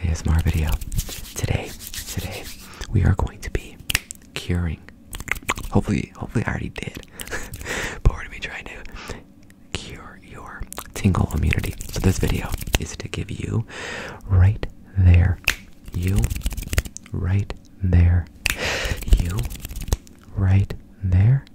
ASMR video. Today, today, we are going to be curing. Hopefully, hopefully I already did. but we're gonna be trying to cure your tingle immunity. So this video is to give you right there. You right there. You right there.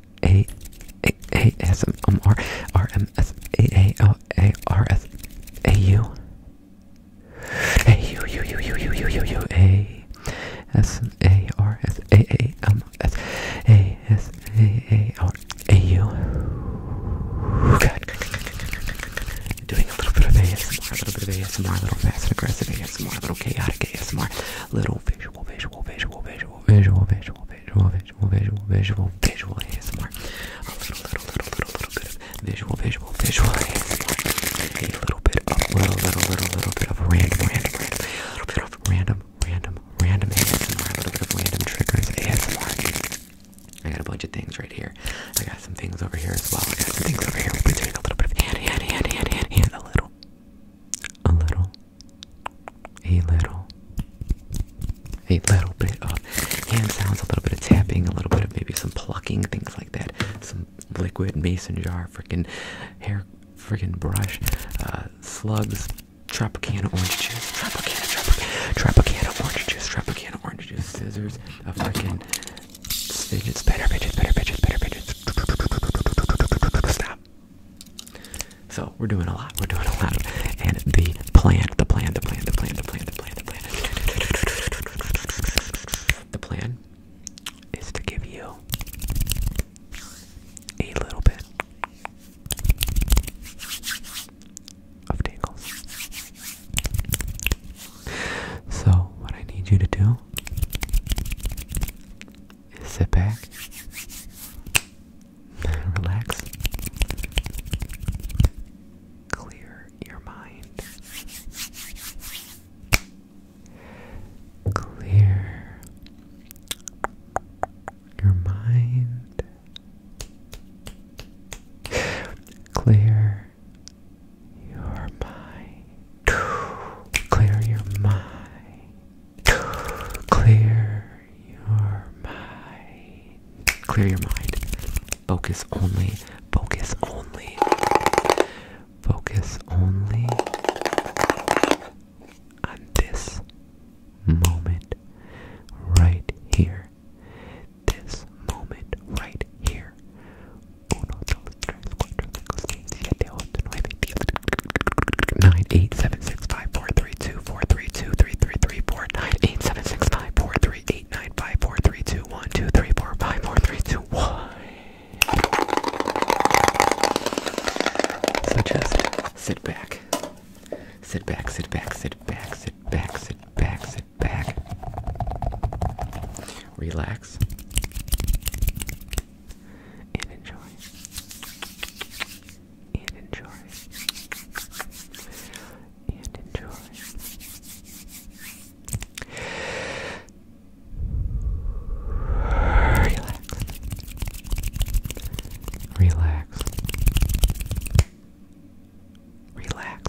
S A A A S M R R M S A A L A R S A U A U U U U U U U U A S A R S A A M S A S A A R A U. Good. Doing a little bit of ASMR, a little bit of ASMR, a little fast and aggressive ASMR, a little chaotic ASMR, little visual, visual, visual, visual, visual, visual visual, visual, visual, visual, visual ASMR. A little, little, little, little, little bit of visual, visual, visual ASMR. A little bit of, little, little, little, little bit of random, random, random. A little bit of random, random, random ASMR. A little bit of random triggers ASMR. I got a bunch of things right here. I got some things over here as well. I got some things over here. We're doing a little bit of hand, hand, hand, hand, hand, hand. A little, a little, a little, a little bit of hand sounds, a little bit of tapping, a little bit of maybe some plucking, things like that. Some liquid mason jar, freaking hair, freaking brush, uh, slugs, Tropicana orange juice, Tropicana, Tropicana, Tropicana orange juice, Tropicana orange juice, scissors, a freaking fidget spinner, fidget spinner, fidget spinner, fidget. So we're doing a lot. We're doing a lot. And the plan, the plan, the plan, the plan, the plan, the plan, the plan. The plan is to give you a little bit of tingles. So what I need you to do sit back, relax, clear your mind, clear your mind, clear your mind, clear your mind. Clear Clear your mind. Focus only. Focus only. Focus only on this moment right here. This moment right here nine eight seven six five four three two four three two three three three four nine eight seven six five four three eight nine five four three two one two three four five four three two one. So just sit back, sit back, sit back, sit back, sit back, sit back, sit back. Relax and enjoy. And enjoy. And enjoy. Relax. Relax. Relax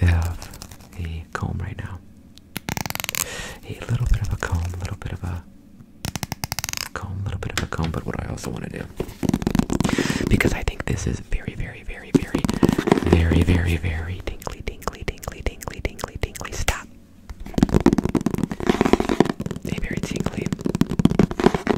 we have a comb right now. A little bit of a comb, a little bit of a comb, a little bit of a comb. But what I also want to do, because I think this is very, very, very, very, very, very, very tingly, tingly, tingly, tingly, tingly, tingly. Stop. A very tingly,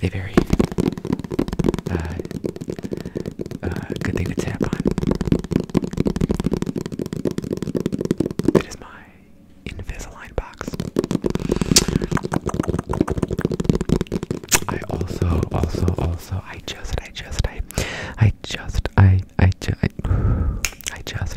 They vary. Uh, uh good thing to tap on. It is my Invisalign box. I also, also, also, I just, I just, I, I just, I, I just, I, just,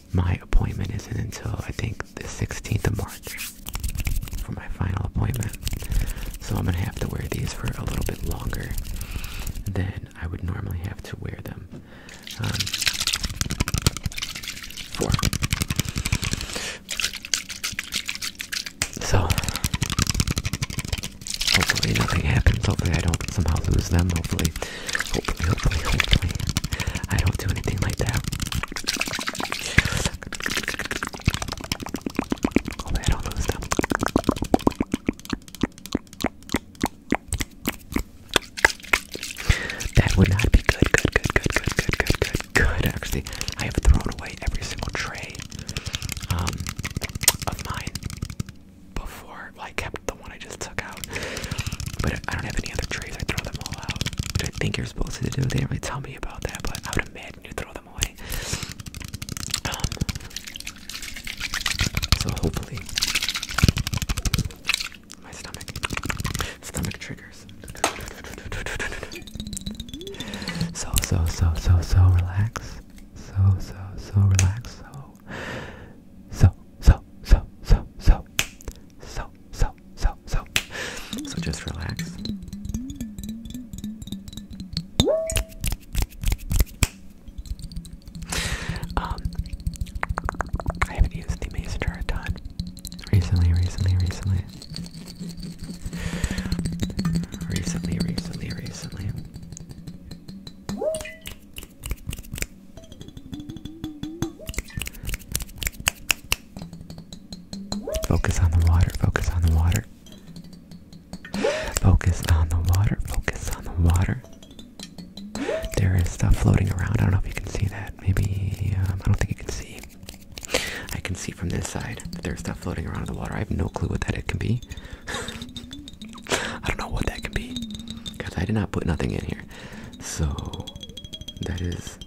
my appointment isn't until I think the 16th of March for my final appointment. So I'm gonna have to wear these for a little bit longer than I would normally have to wear them. Um, so hopefully nothing happens. Hopefully I don't somehow lose them. Hopefully Hopefully, hopefully, hopefully, I don't do anything like that. I don't lose them. That would not be good, good, good, good, good, good, good, good, good. Actually, I have thrown away every single tray of mine before. Well, I kept the one I just took out, but I don't have any other trays. I throw them all out, which I think you're supposed to do. They didn't really tell me about that, but I would imagine you throw them away. Um, so hopefully, my stomach, stomach triggers. So so so so so relax. So so so relax. So so, so, so, so, so, so, so, so, so. So just relax. Um, I have used the mason a ton recently, recently, recently. Recently, recently, recently. Focus on the water, focus on the water. Focus on the water, focus on the water. There is stuff floating around. I don't know if you can see that. Maybe, um, I don't think you can see. I can see from this side there's stuff floating around in the water. I have no clue what that it can be. I don't know what that could be because I did not put nothing in here. So that is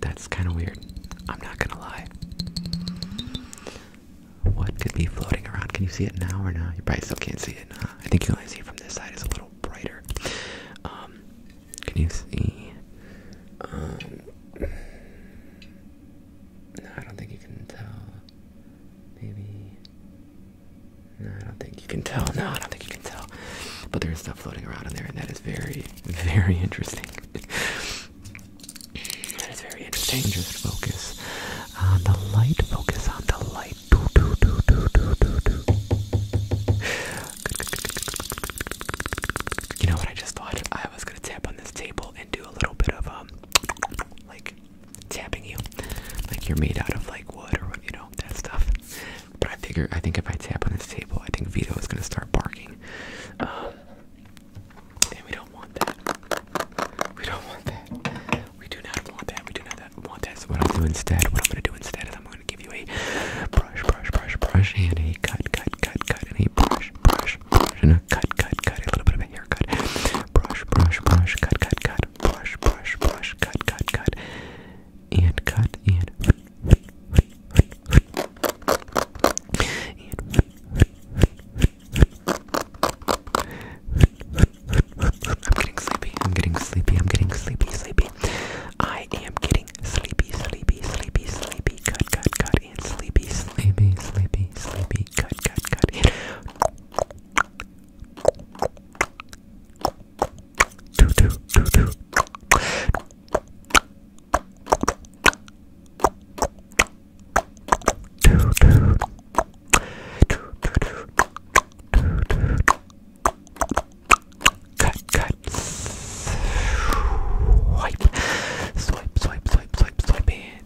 that's kind of weird. I'm not gonna lie. What could be floating around? Can you see it now or not? You probably still can't see it. I think you only see it from this side. It's a little brighter. Um, can you see? Um, I don't think you can tell. Maybe I don't think you can tell. No, I don't think you can tell. But there's stuff floating around in there, and that is very, very interesting. that is very interesting. focus on the light. Focus on the light. You know what I just thought? I was gonna tap on this table and do a little bit of um, like tapping you. Like you're made out of like wood or you know that stuff. But I figure I think if I tap on this table, I think Vito is gonna start barking. Um, and we don't want that. We don't want that. We do not want that. We do not want that. So what I'll do instead, what I'm gonna do instead is I'm gonna give you a brush, brush, brush, brush, and a cut, cut, cut, cut, and a brush, brush, brush, and a cut, cut, cut, a little bit of a hair haircut. Brush, brush, brush, cut, cut, cut. Brush, brush, brush, cut, cut, cut. And cut, and. and I'm getting sleepy. I'm getting sleepy. I'm getting sleepy, sleepy. I am getting sleepy, sleepy, sleepy, sleepy. Cut, cut, cut. And sleepy, sleepy, sleepy, sleepy. Cut, cut, cut. And do do do do. Do do. Do do do. Do do. Cut, cut. Swipe. Swipe, swipe, swipe, swipe, swipe in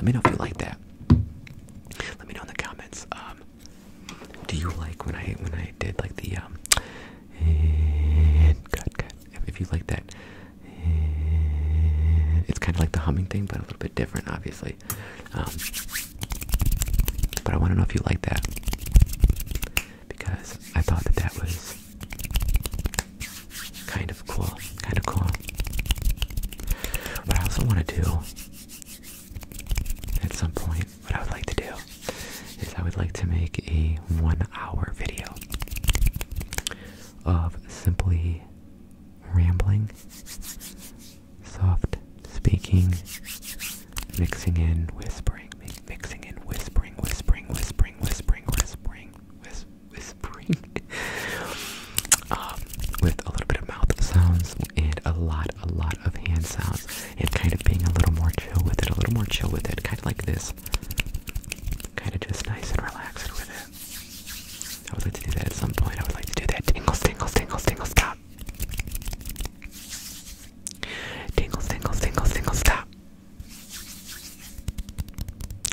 Let me know if you like that. Let me know in the comments. Um, do you like when I when I did like the um, If, you like that, it's kind of like the humming thing, but a little bit different, obviously. Um, but I want to know if you like that because I thought that that was kind of cool, kind of cool. What I also want to do at some point, what I would like to do is I would like to make a one hour video of simply rambling, soft speaking, mixing in whispering, mixing in whispering, whispering, whispering, whispering, whispering, whis whispering, um, with a little bit of mouth sounds and a lot, a lot of hand sounds, and kind of being a little more chill with it, a little more chill with it, kind of like this, kind of just nice and relaxed with it. I would like to do that at some point. I would like to do that. Tingles, tingles, tingles, tingles. Stop. Tingles, tingles, tingles, tingles. Stop.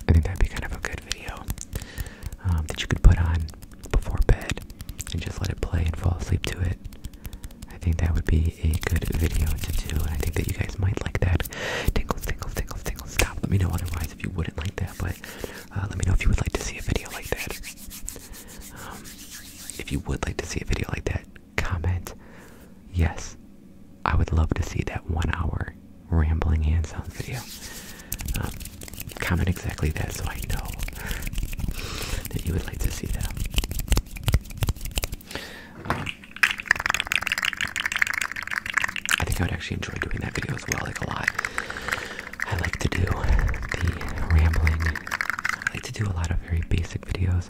I think that'd be kind of a good video um, that you could put on before bed and just let it play and fall asleep to it. I think that would be a good video to do, and I think that you guys might like that. Tinkle, tinkle, tinkle, tinkle. Stop. Let me know otherwise if you wouldn't like that, but uh, let me know if you would like to see a video like that. Um, if you would like to see a video like that, comment. Yes, I would love to see that one hour rambling hands-on video. Um, comment exactly that so I know that you would like to see that. I think I would actually enjoy doing that video as well, like a lot. I like to do the rambling. I like to do a lot of very basic videos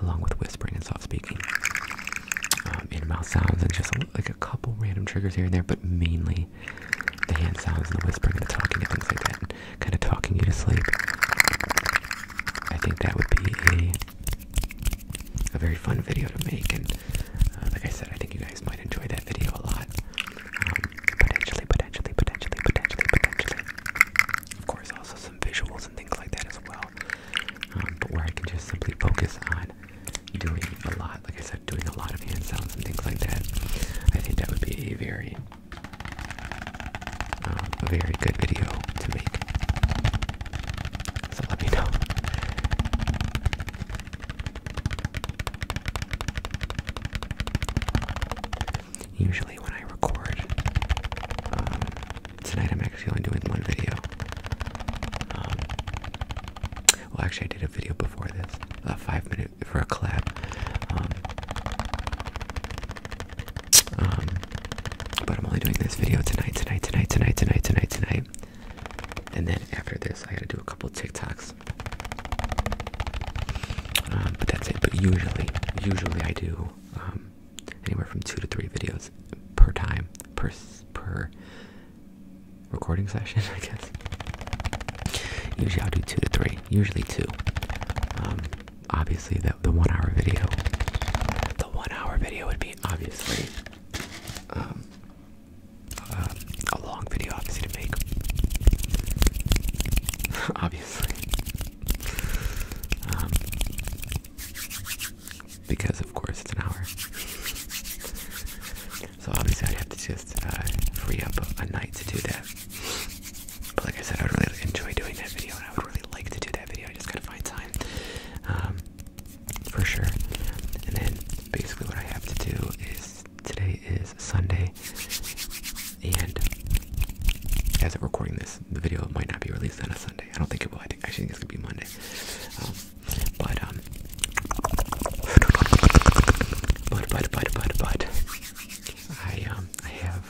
along with whispering and soft speaking, in-mouth sounds, and just like a couple random triggers here and there, but mainly the hand sounds and the whispering and the talking and things like that, and kind of talking you to sleep. I think that would be a, very fun video to make, and like I said, I think you guys might enjoy that video a lot. potentially, potentially, potentially, potentially, potentially. Of course, also some visuals and things like that as well. Um, but where I can just simply focus on doing a lot, like I said, doing a lot of hand sounds and things like that. I think that would be a very, um, a very good video to make. So let me know. Usually, when I record um, tonight I'm actually only doing one video. Um, well, actually, I did a video before this, a five minute for a collab. Um, um, but I'm only doing this video tonight, tonight, tonight, tonight, tonight, tonight, tonight. And then after this, I gotta do a couple TikToks. Um, but that's it. But usually, usually I do anywhere from two to three videos per time per per recording session. I guess usually I'll do two to three. Usually two. Um, obviously, the the one hour video, the one hour video would be obviously um, uh, a long video, obviously to make. obviously. Um, because of course it's an hour. So obviously I'd have to just uh, free up a, night to do that. But like I said, I would really enjoy doing that video, and I would really like to do that video. I just gotta find time, um, for sure. And then basically what I have to do is today is Sunday. And as of recording this, the video might not be released on a Sunday. I don't think it will. I actually think it's gonna be Monday. Um, but um, but but but but but I um I have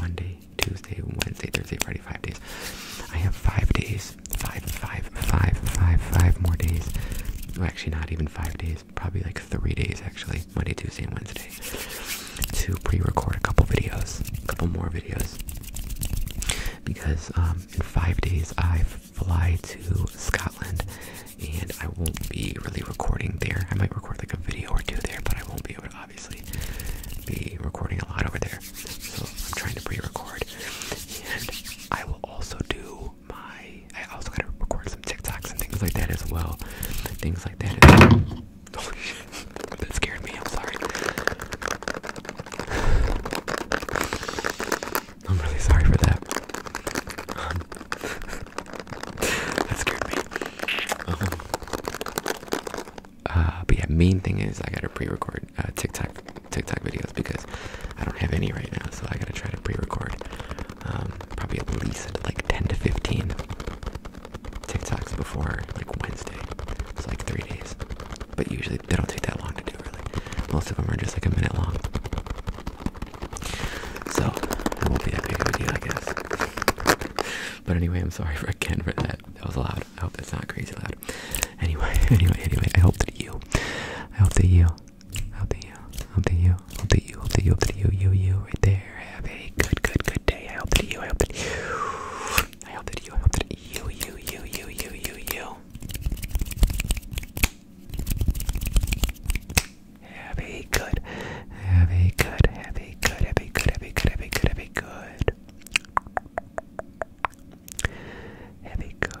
Monday, Tuesday, Wednesday, Thursday, Friday, five days. I have five days, five, five, five, five, five more days. Well, actually, not even five days probably like three days actually, Monday, Tuesday, and Wednesday, to pre-record a couple videos, a couple more videos, because um, in five days I fly to Scotland, and I won't be really recording there. I might record like a video or two there, but I won't be able to obviously be recording a lot over there. So I'm trying to pre-record, and I will also do my. I also gotta record some TikToks and things like that as well. Things Oh, that. scared me. I'm sorry. I'm really sorry for that. Um, that scared me. Um, uh, but yeah, main thing is I gotta pre-record uh, TikTok TikTok videos because I don't have any right now, so I gotta try to pre-record um, probably at least like 10 to 15 TikToks before like Wednesday. It's like three days, but usually they don't take that long to do. Really, most of them are just like a minute long. So that won't be that big of a deal, I guess. but anyway, I'm sorry for again for that. That was loud. I hope that's not crazy loud. Anyway, anyway, anyway. I hope that you. I hope that you. I hope that you you, hope that you, hope that you, hope that you, hope that you, you, you, right there. Have a good, good, good day. I hope that you, I hope that you, I hope that you, I hope that you, you, you, you, you, you, you. Have a good, have a good, have a good, have a good, have a good, have a good, have a good. Have a good,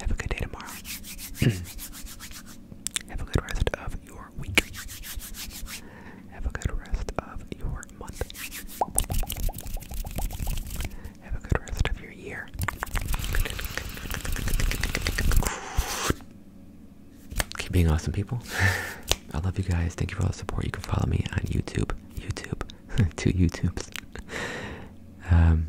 Have a good day tomorrow. Have a good rest of your week. Have a good rest of your month. Have a good rest of your year. Keep being awesome, people. I love you guys. Thank you for all the support. You can follow me on YouTube. YouTube. Two YouTubes. Um,